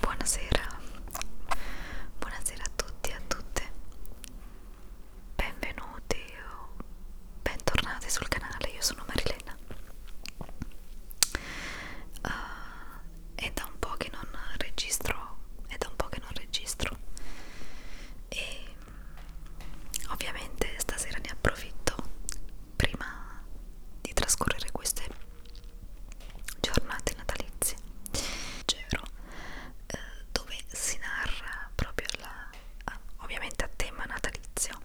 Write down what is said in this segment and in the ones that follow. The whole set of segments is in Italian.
Buonasera, buonasera a tutti e a tutte, benvenuti o bentornati sul canale, io sono Marilena uh, è da un po' che non registro, è da un po' che non registro e ovviamente stasera ne approfitto prima di trascorrere queste giornate natalizie Gero eh, dove si narra proprio la, ah, ovviamente a tema natalizio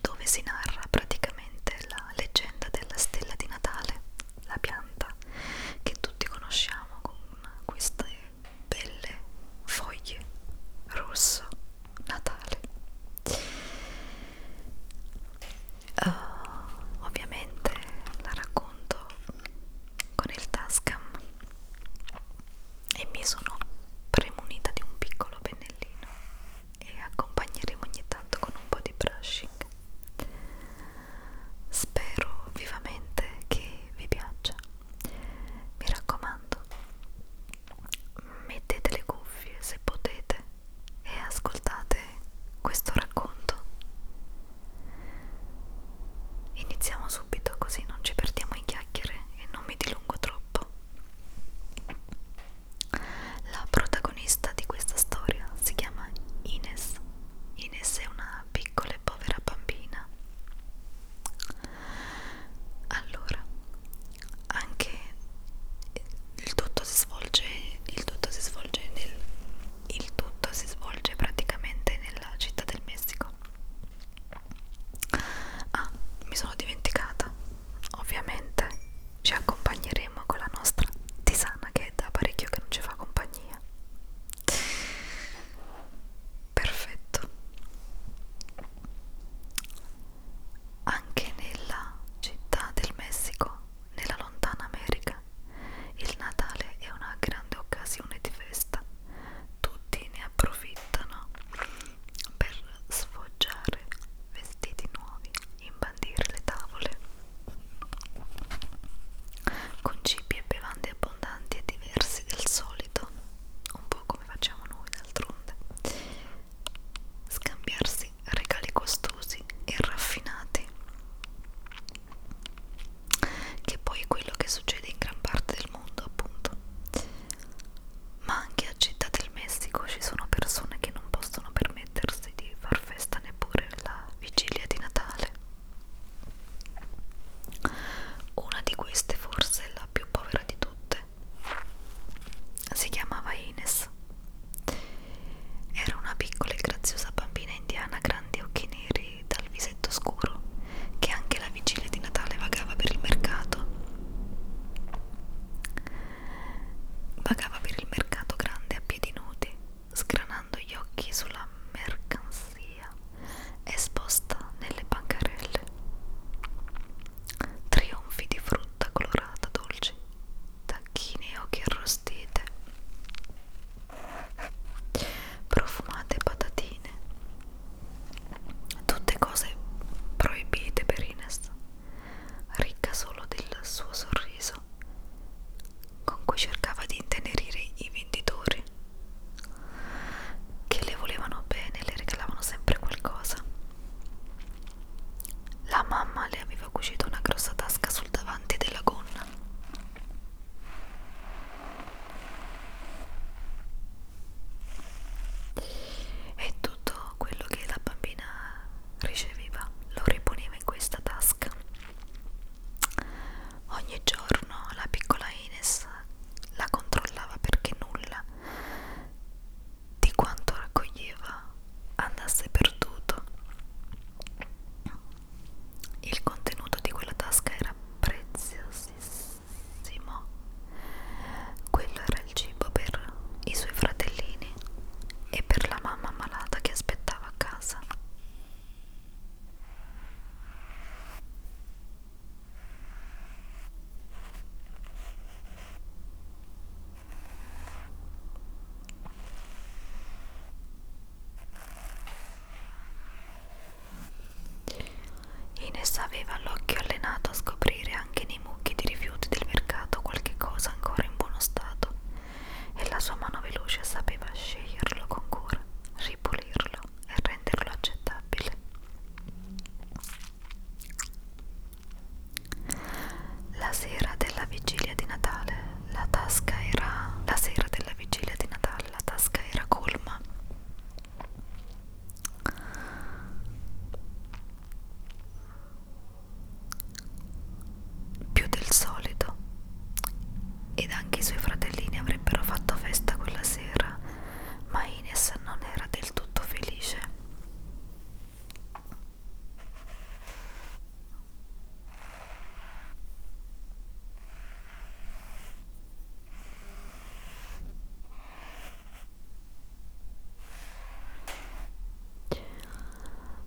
dove si narra praticamente la leggenda della stella di Natale la pianta che tutti conosciamo con queste belle foglie rosso Natale uh, ovviamente la racconto con il Tascam e mi sono premunita di un piccolo pennellino e accompagneremo ogni tanto con un po' di brushing spero vivamente che vi piaccia mi raccomando mettete le cuffie se potete e ascoltate questo racconto. Iniziamo subito così non ci perdiamo in chiacchiere e non mi dilungo troppo. La protagonista di questa storia si chiama Ines. Ines è una piccola e povera bambina. Allora, anche il tutto si svolge il tutto si svolge nel il tutto si svolge praticamente nella città del Messico ah mi sono dimenticata ovviamente ci accompagneremo con la nostra tisana che è da parecchio che non ci fa compagnia perfetto anche nella città del Messico, nella lontana America, il Natale è una grande occasione di festa. Tutti ne approfittano per sfoggiare vestiti nuovi, imbandire le tavole con cibi e bevande abbondanti e diversi del solito, un po' come facciamo noi d'altronde scambiarsi regali costosi e raffinati che poi è quello che succede in gran parte del mondo appunto ma anche a Città del Messico ci sono persone che non possono permettersi di far festa neppure la vigilia di Natale una di queste forse è la più povera di tutte si chiamava Ines. Era una piccola e graziosa bambina indiana, grandi occhi neri dal visetto scuro, che anche la vigilia di Natale vagava per il mercato. Vagava per il mercato grande a piedi nudi, sgranando gli occhi sulla mercanzia esposta nelle bancarelle. Trionfi di frutta frutta colorata dolce, tacchine e occhi arrostite, profumate patatine, tutte cose proibite per Ines, ricca solo del suo sorriso, con cui cercava di intenerire i venditori che le volevano bene e le regalavano sempre qualcosa. La mamma le aveva cucito una grossa tasca sul davanti della gonna. E tutto quello che la bambina riceveva lo riponeva in questa tasca. Ogni giorno la piccola Ines la controllava perché nulla di quanto raccoglieva andasse perduto. Il contenuto di quella tasca era preziosissimo. Quello era il cibo per i suoi fratellini e per la mamma malata che aspettava a casa. Ines aveva l'occhio allenato a scoprire anche nei mucchi di rifiuti del mercato qualche cosa ancora in buono stato e la sua mano veloce sapeva sceglierlo con cura, ripulirlo e renderlo accettabile. La sera della vigilia di Natale la tasca era la sera della vigilia di Natale la tasca era colma. Più del solito. Ed anche i suoi fratellini avrebbero fatto festa quella sera, ma Ines non era del tutto felice.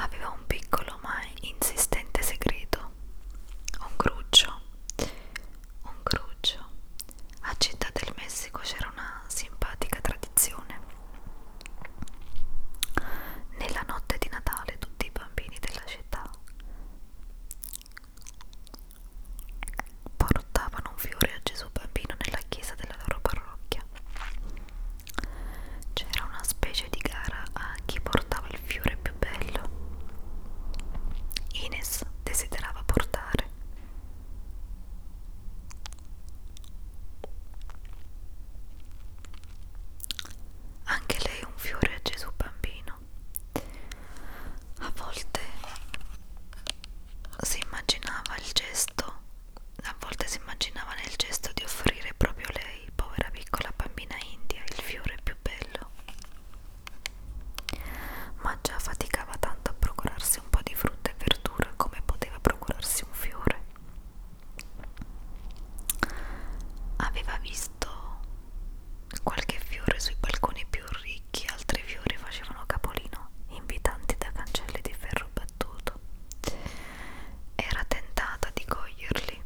Aveva un piccolo ma insistente segreto, un cruccio, un cruccio. A Città del Messico c'era una simpatica tradizione. Nella notte di Natale tutti i bambini della città portavano un fiore a Gesù bambino nella chiesa della loro parrocchia. C'era una specie di gara a chi portava il fiore più bello. Ines desiderava portare anche lei un fiore a Gesù bambino. A volte si immaginava il gesto, a volte si immaginava nel gesto di offrire proprio lei, povera piccola bambina india, il fiore più bello. Ma già faticava tanto a procurarsi un po' di frutta e verdura come poteva procurarsi un fiore. Aveva visto qualche fiore sui balconi più ricchi, altri fiori facevano capolino, invitanti da cancelli di ferro battuto. Era tentata di coglierli,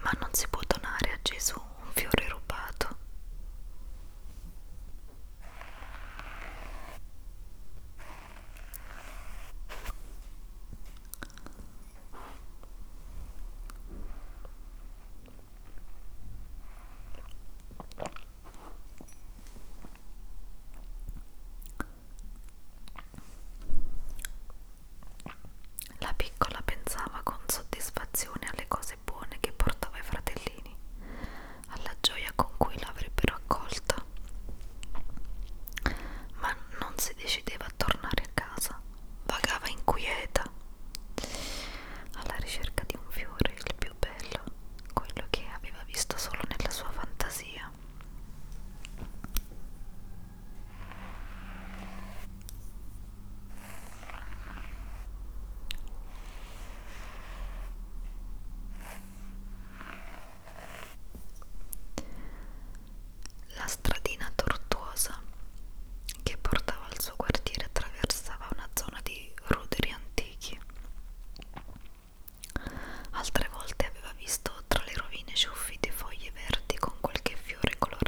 ma non si può donare a Gesù un fiore rubato. La piccola pensava con soddisfazione alle cose ragazze buone che portava i fratellini, alla gioia con cui l'avrebbero accolta. Ma non si decideva a tornare a casa, vagava inquieta, alla ricerca di un fiore, il più bello, quello che aveva visto solo nella sua fantasia. La stradina tortuosa che portava al suo quartiere attraversava una zona di ruderi antichi. Altre volte aveva visto tra le rovine ciuffi di foglie verdi con qualche fiore colorato.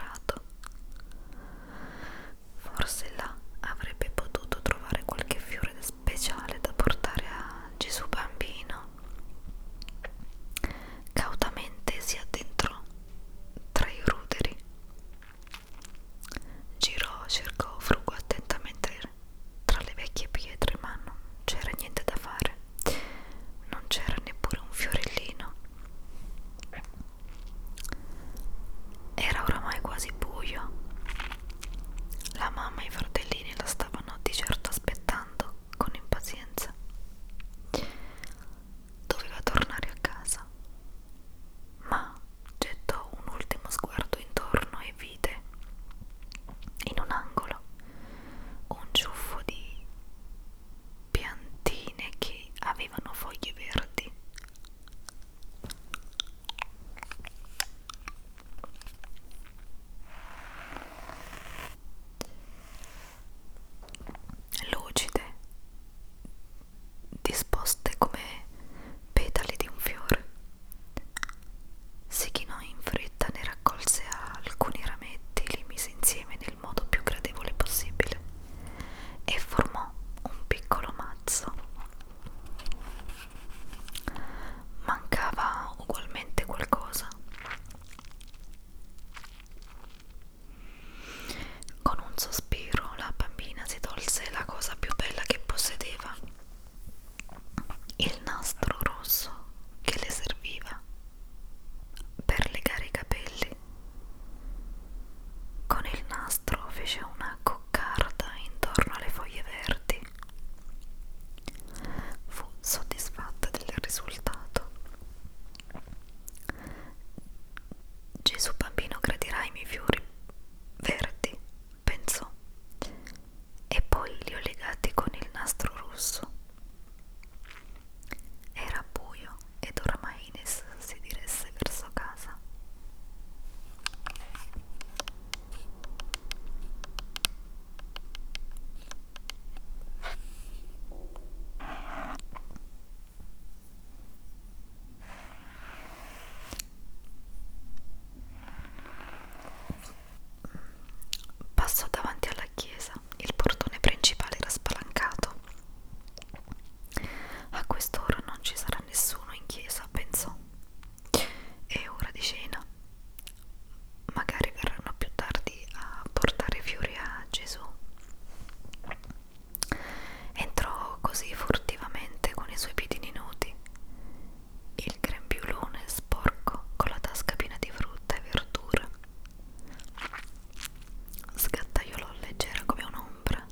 Forse là avrebbe potuto trovare qualche fiore speciale da portare a Gesù bambino. Cautamente si addentrò tra i ruderi. Girò, cercò, frugò attentamente tra le vecchie pietre, ma non c'era niente da fare. Non c'era neppure un fiorellino. Era oramai quasi buio. La mamma e i fratellini la stavano di certo aspettando con impazienza. Doveva tornare a casa, ma gettò un ultimo sguardo intorno e vide in un angolo un ciuffo di piantine che avevano foglie verdi lucide disposte come petali di un fiore si chinò in fretta ne raccolse alcuni rametti e li mise insieme nel modo più gradevole possibile e formò un piccolo mazzo. Mancava ugualmente qualcosa. Con un sospiro la bambina si tolse la cosa più bella che possedeva, il nastro rosso che le serviva per legare i capelli. Con il nastro fece una coccarda intorno alle foglie verdi. Fu soddisfatta del risultato. Gesù bambino gradirà i miei fiori verdi, pensò, e poi li ho legati con il nastro rosso. Era buio, ed ormai Ines si diresse verso casa. Passò davanti alla chiesa, il portone principale era spalancato a quest'ora non ci sarà nessuno in chiesa, pensò. È ora di cena. Magari verranno più tardi a portare fiori a Gesù. Entrò così furtivamente con i suoi piedini nudi. Il grembiulone sporco con la tasca piena di frutta e verdura. Sgattaiolò leggera come un'ombra ombra,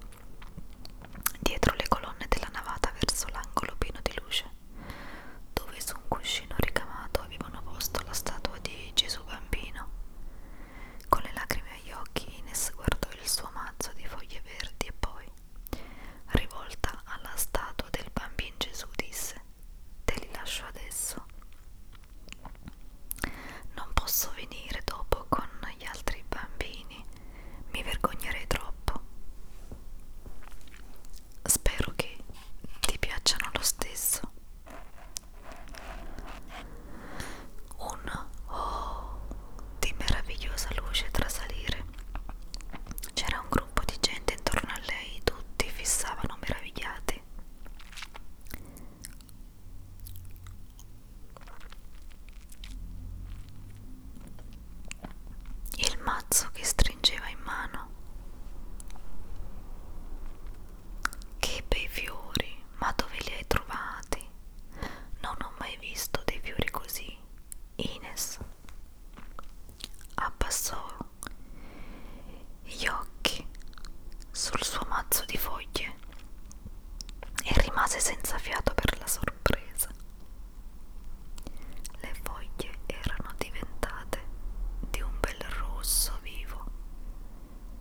dietro le colonne della navata verso l'angolo pieno di luce, dove su un cuscino ricamato avevano posto la statua di Gesù bambino. Con le lacrime agli occhi Ines guardò il suo mazzo di foglie verdi e poi, rivolta alla statua del bambino Gesù, disse Te li lascio adesso. Non posso venire dopo con gli altri bambini, mi vergognerei troppo. Spero che ti piacciono lo stesso. Un oh di meravigliosa luce trasalire. C'era un gruppo di gente intorno a lei, tutti fissavano meravigliati il mazzo che stringeva in mano. Che bei fiori, ma dove li hai trovati? Non ho mai visto dei fiori così. Ines abbassò gli occhi sul suo mazzo di foglie e rimase senza fiato per la sorpresa. Le foglie erano diventate di un bel rosso vivo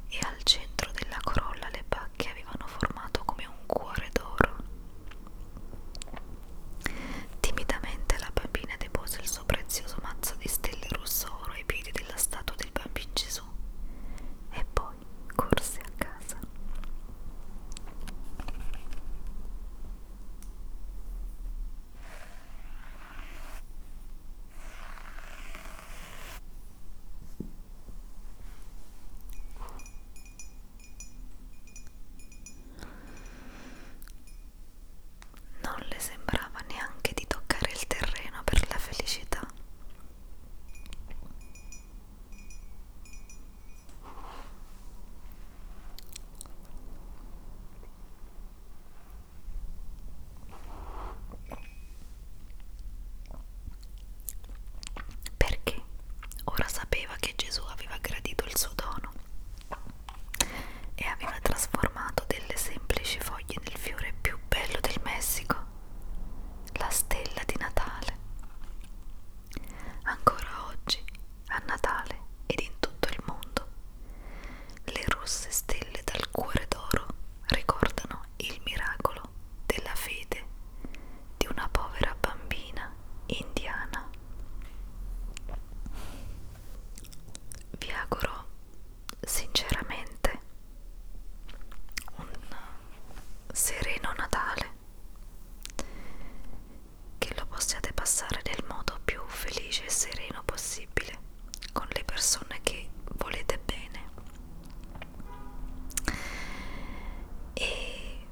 e al centro della corolla le bacche avevano formato come un cuore d'oro. Timidamente la bambina depose il suo prezioso mazzo di stelle rosso oro ai piedi della statua del bambino Gesù Gesù e poi corse a casa. Non le sembrava neanche di toccare il terreno per la felicità perché ora sapeva che Gesù aveva gradito il suo dono e aveva trasformato delle semplici foglie nel fiore più bello del Messico chiama la stella di Natale. Ancora oggi, a Natale ed in tutto il mondo, le rosse stelle dal cuore d'oro ricordano il miracolo della fede di una povera bambina indiana. Vi auguro sinceramente un sereno Natale, che lo possiate passare nel modo più felice e sereno possibile con le persone che volete bene e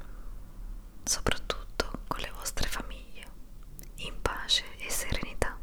soprattutto con le vostre famiglie in pace e serenità